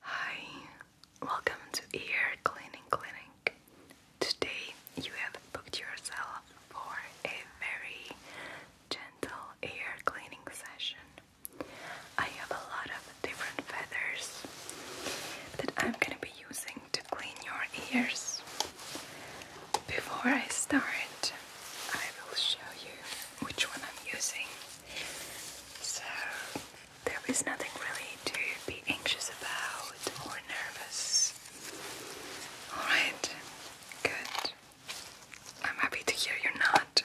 Hi, welcome to Ear Cleaning Clinic. Today you have booked yourself for a very gentle ear cleaning session. I have a lot of different feathers that I'm gonna be using to clean your ears. Before I start, I will show you which one I'm using. So, there is nothing really to be anxious about or nervous. Alright, good. I'm happy to hear you're not.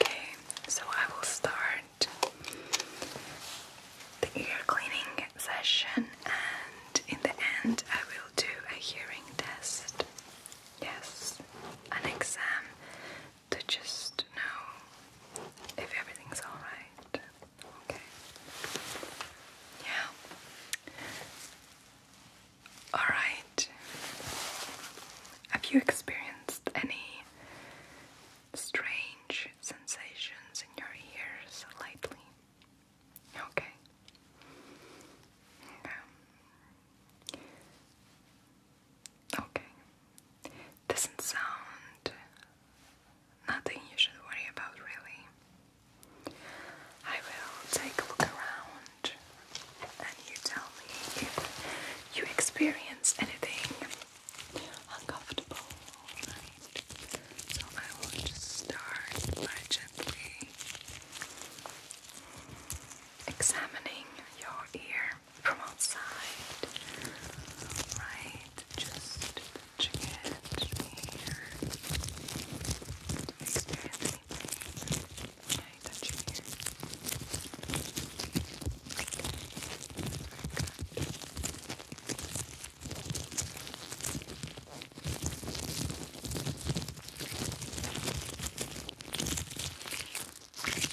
Okay, so I will start the ear cleaning session and in the end I will do a hearing test. Yes, an exam to just know if everything's alright. Okay. Yeah. Alright. Have you experienced any strange sensations in your ears lately? Okay. Um, Okay. Doesn't sound nothing you should worry about, really. I will take a look around and you tell me if you experience anything uncomfortable. So I will just start by gently examining your ear from outside. Right? Just touching it here. Do experience anything? Okay, touching here.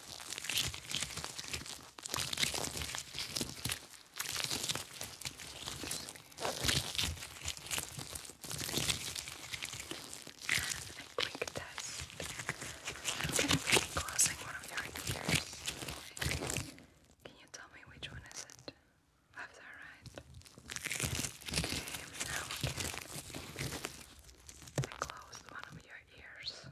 I'm going to be closing one of your ears. Can you tell me which one is it? Left right? Okay, now again. I closed one of your ears.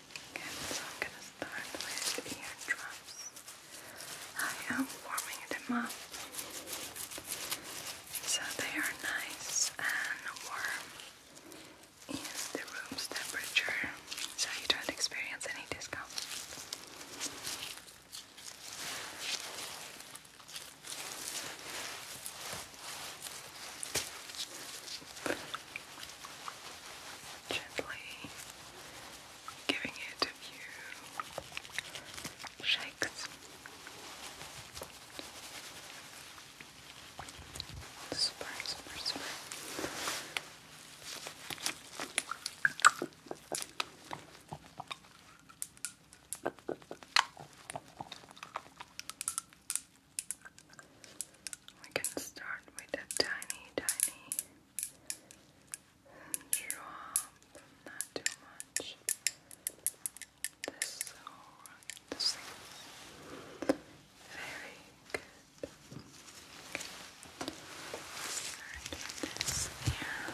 so I'm gonna start with the eardrums. I am warming them up so they are nice and warm Is the room's temperature so you don't experience any discomfort gently giving it a few shakes. Super, super, super. We can start with a tiny, tiny drop, not too much. This is very good. Okay. this here.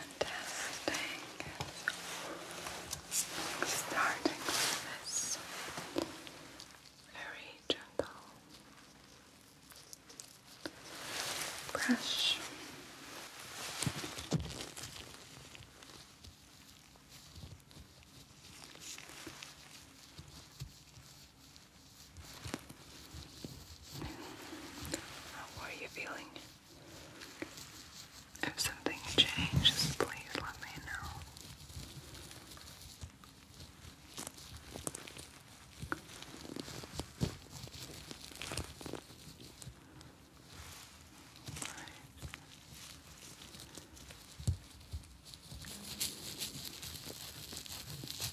and testing starting with this very gentle brush. How are you feeling? If something changes, please let me know.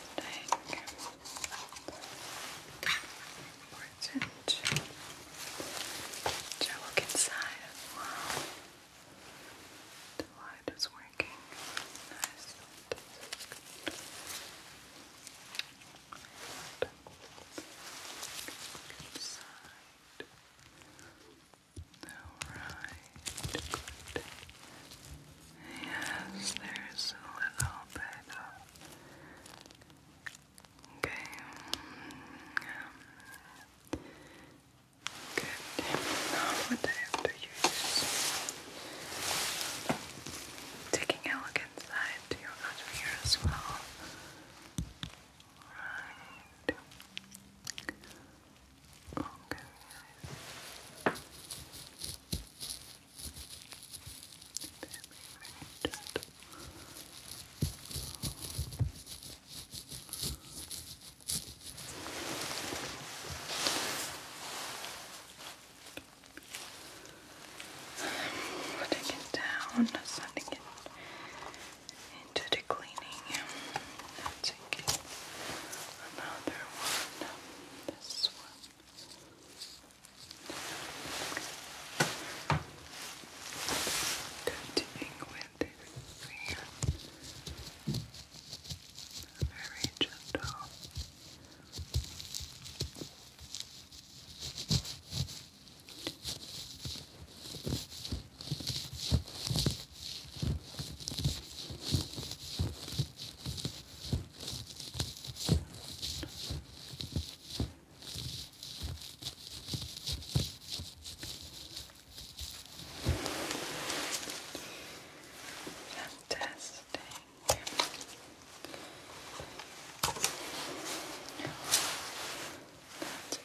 Interesting. Important. Should I look inside The light is working. Nice. Inside. All right good. Yes, there's a little bit Okay. good. Now, what I have to use. Taking a look inside your other ear as well. Right. Okay, guys. Putting it down, sending it into the another one this one. Continuing with this hand. Very gentle. Fantastic. Now taking this. Good.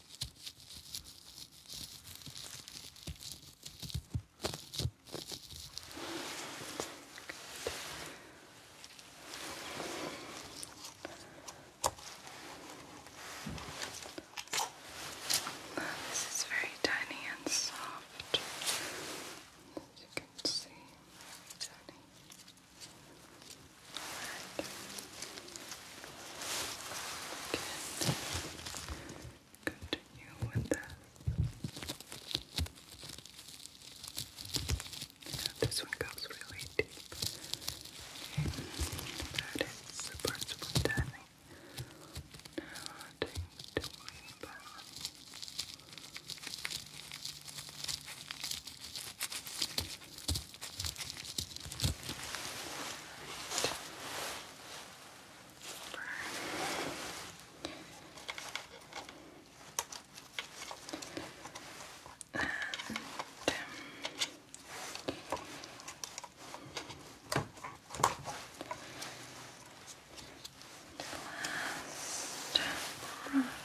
Now, this is very tiny and soft, as you can see. tiny. Good. Continue with this. this one goes really deep. Okay. That is super, super Now I think over. And, um, Last brush.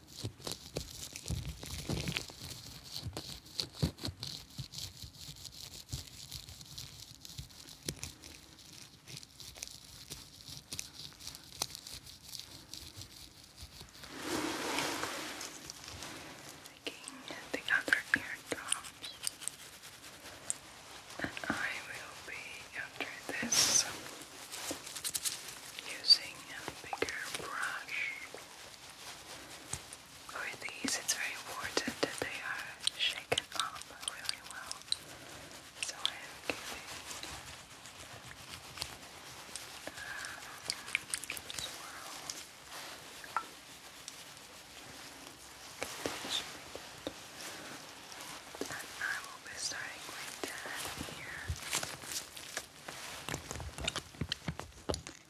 Taking the other eardrops, and I will be after this using a bigger brush. For these, it's very important that they are shaken up really well. So I am giving um, uh, swirl. And I will be starting with that here.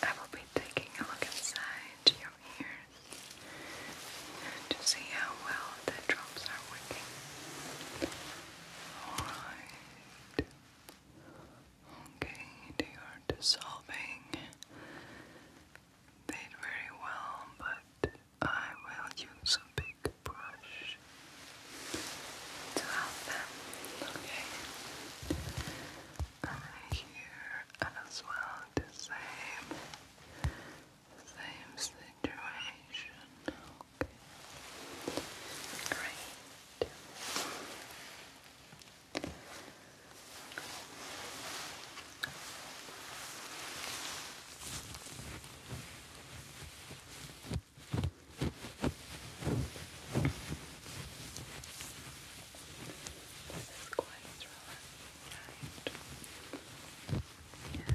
I will be taking a look inside your ear to see how well the drops are working. Okay, they are dissolving. They did very well, but I will use a big brush to help them. Okay here as well, the same, same situation. Okay. Great. This is quite relaxing, Yeah.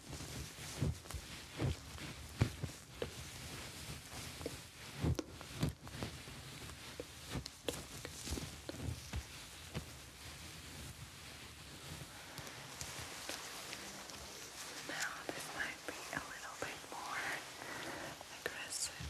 Now this might be a little bit more aggressive,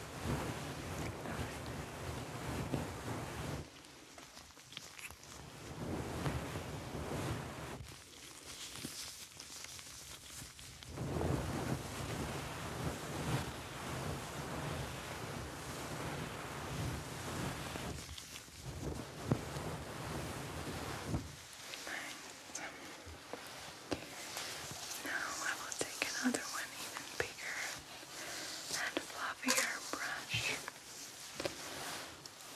Right. Now I will take another one even bigger and fluffier brush.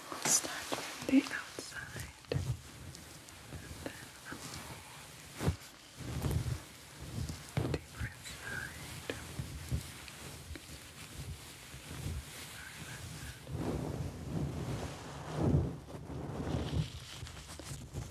We'll start from the outside and then up the different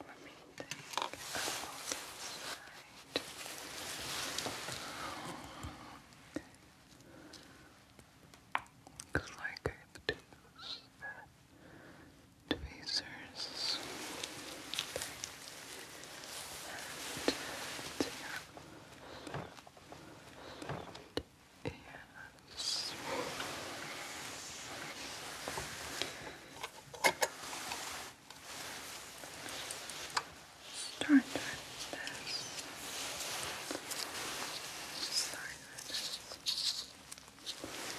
Let me think about Because I've deduced the tweezers and the Yes. Start with this. Start with this.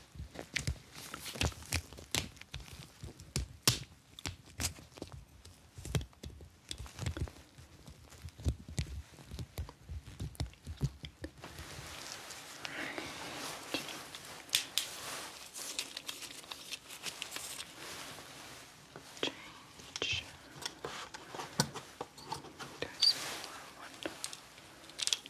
Change. There's one.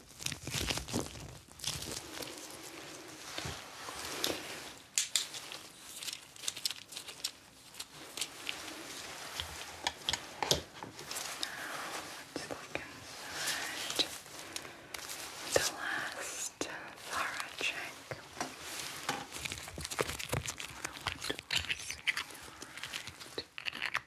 Now, let's look inside the last thorough check. Alright.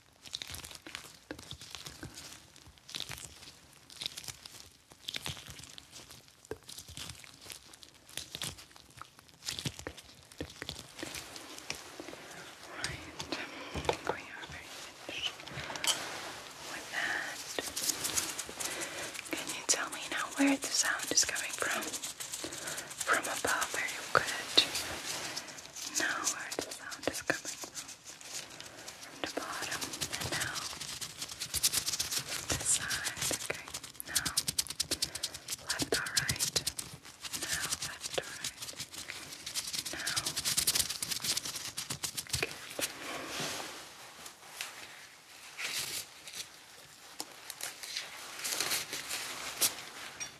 Right, we are finished with that. Can you tell me now where the sound is coming from? From above, very good. Now where the sound is coming from. From the bottom and now this side. Okay. Now left or right. Now left or right. Now good.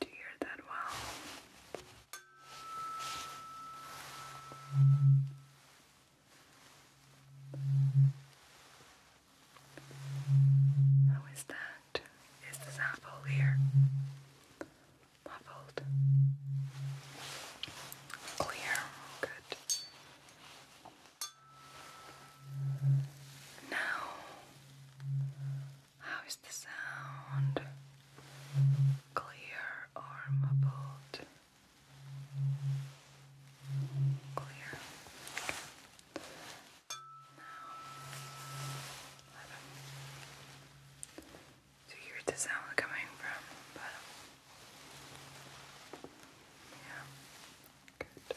Do you hear that wow? How is that? Is this apple here? Muffled. Clear. Good. Now how is the sound? Clear or muffled? Clear. Now, I do the sound coming from bottom? Yeah. Good.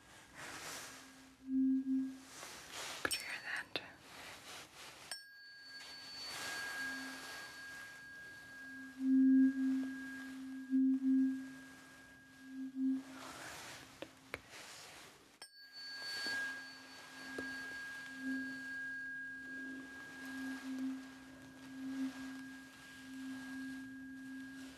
Could you hear that? Okay.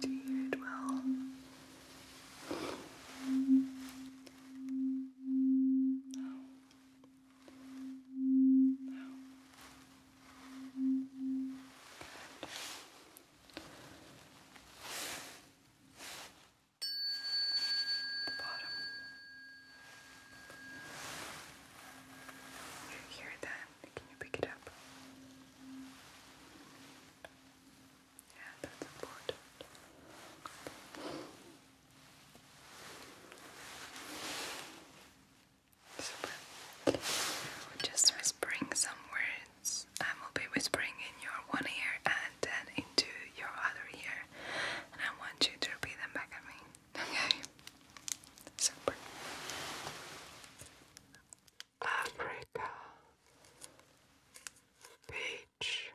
Do you dwell no. No. The bottom. You hear that can you pick it up? Yeah, that's important. just whispering some words. I will be whispering in your one ear and then into your other ear, and I want you to repeat them back at me. Okay. Super. Africa Beach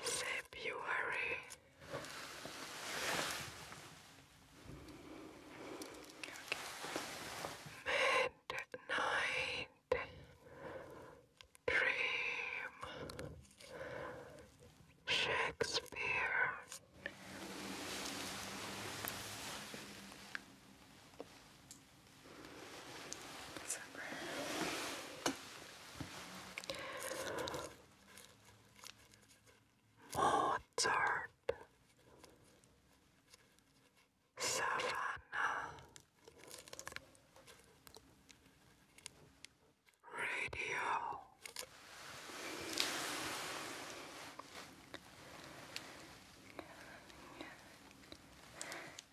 February Midnight Dream Shakespeare. Mozart, Savannah, radio.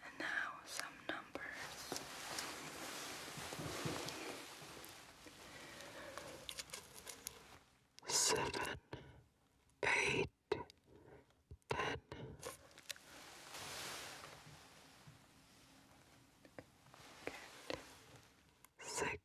And now some numbers. Seven, eight, ten.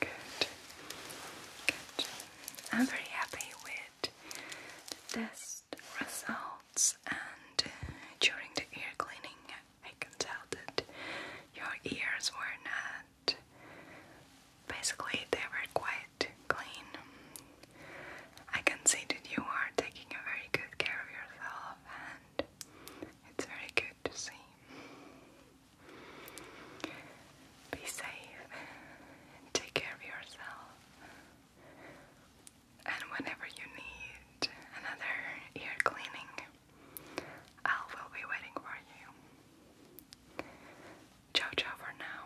Good. I'm very happy with the test results, and during the ear cleaning, I can tell that your ears were not. Basically, they were quite clean. I can see that you are taking a very good care of yourself, and it's very good to see. Be safe take care of yourself. And whenever you need another ear cleaning, I will be waiting for you. Ciao, ciao for now.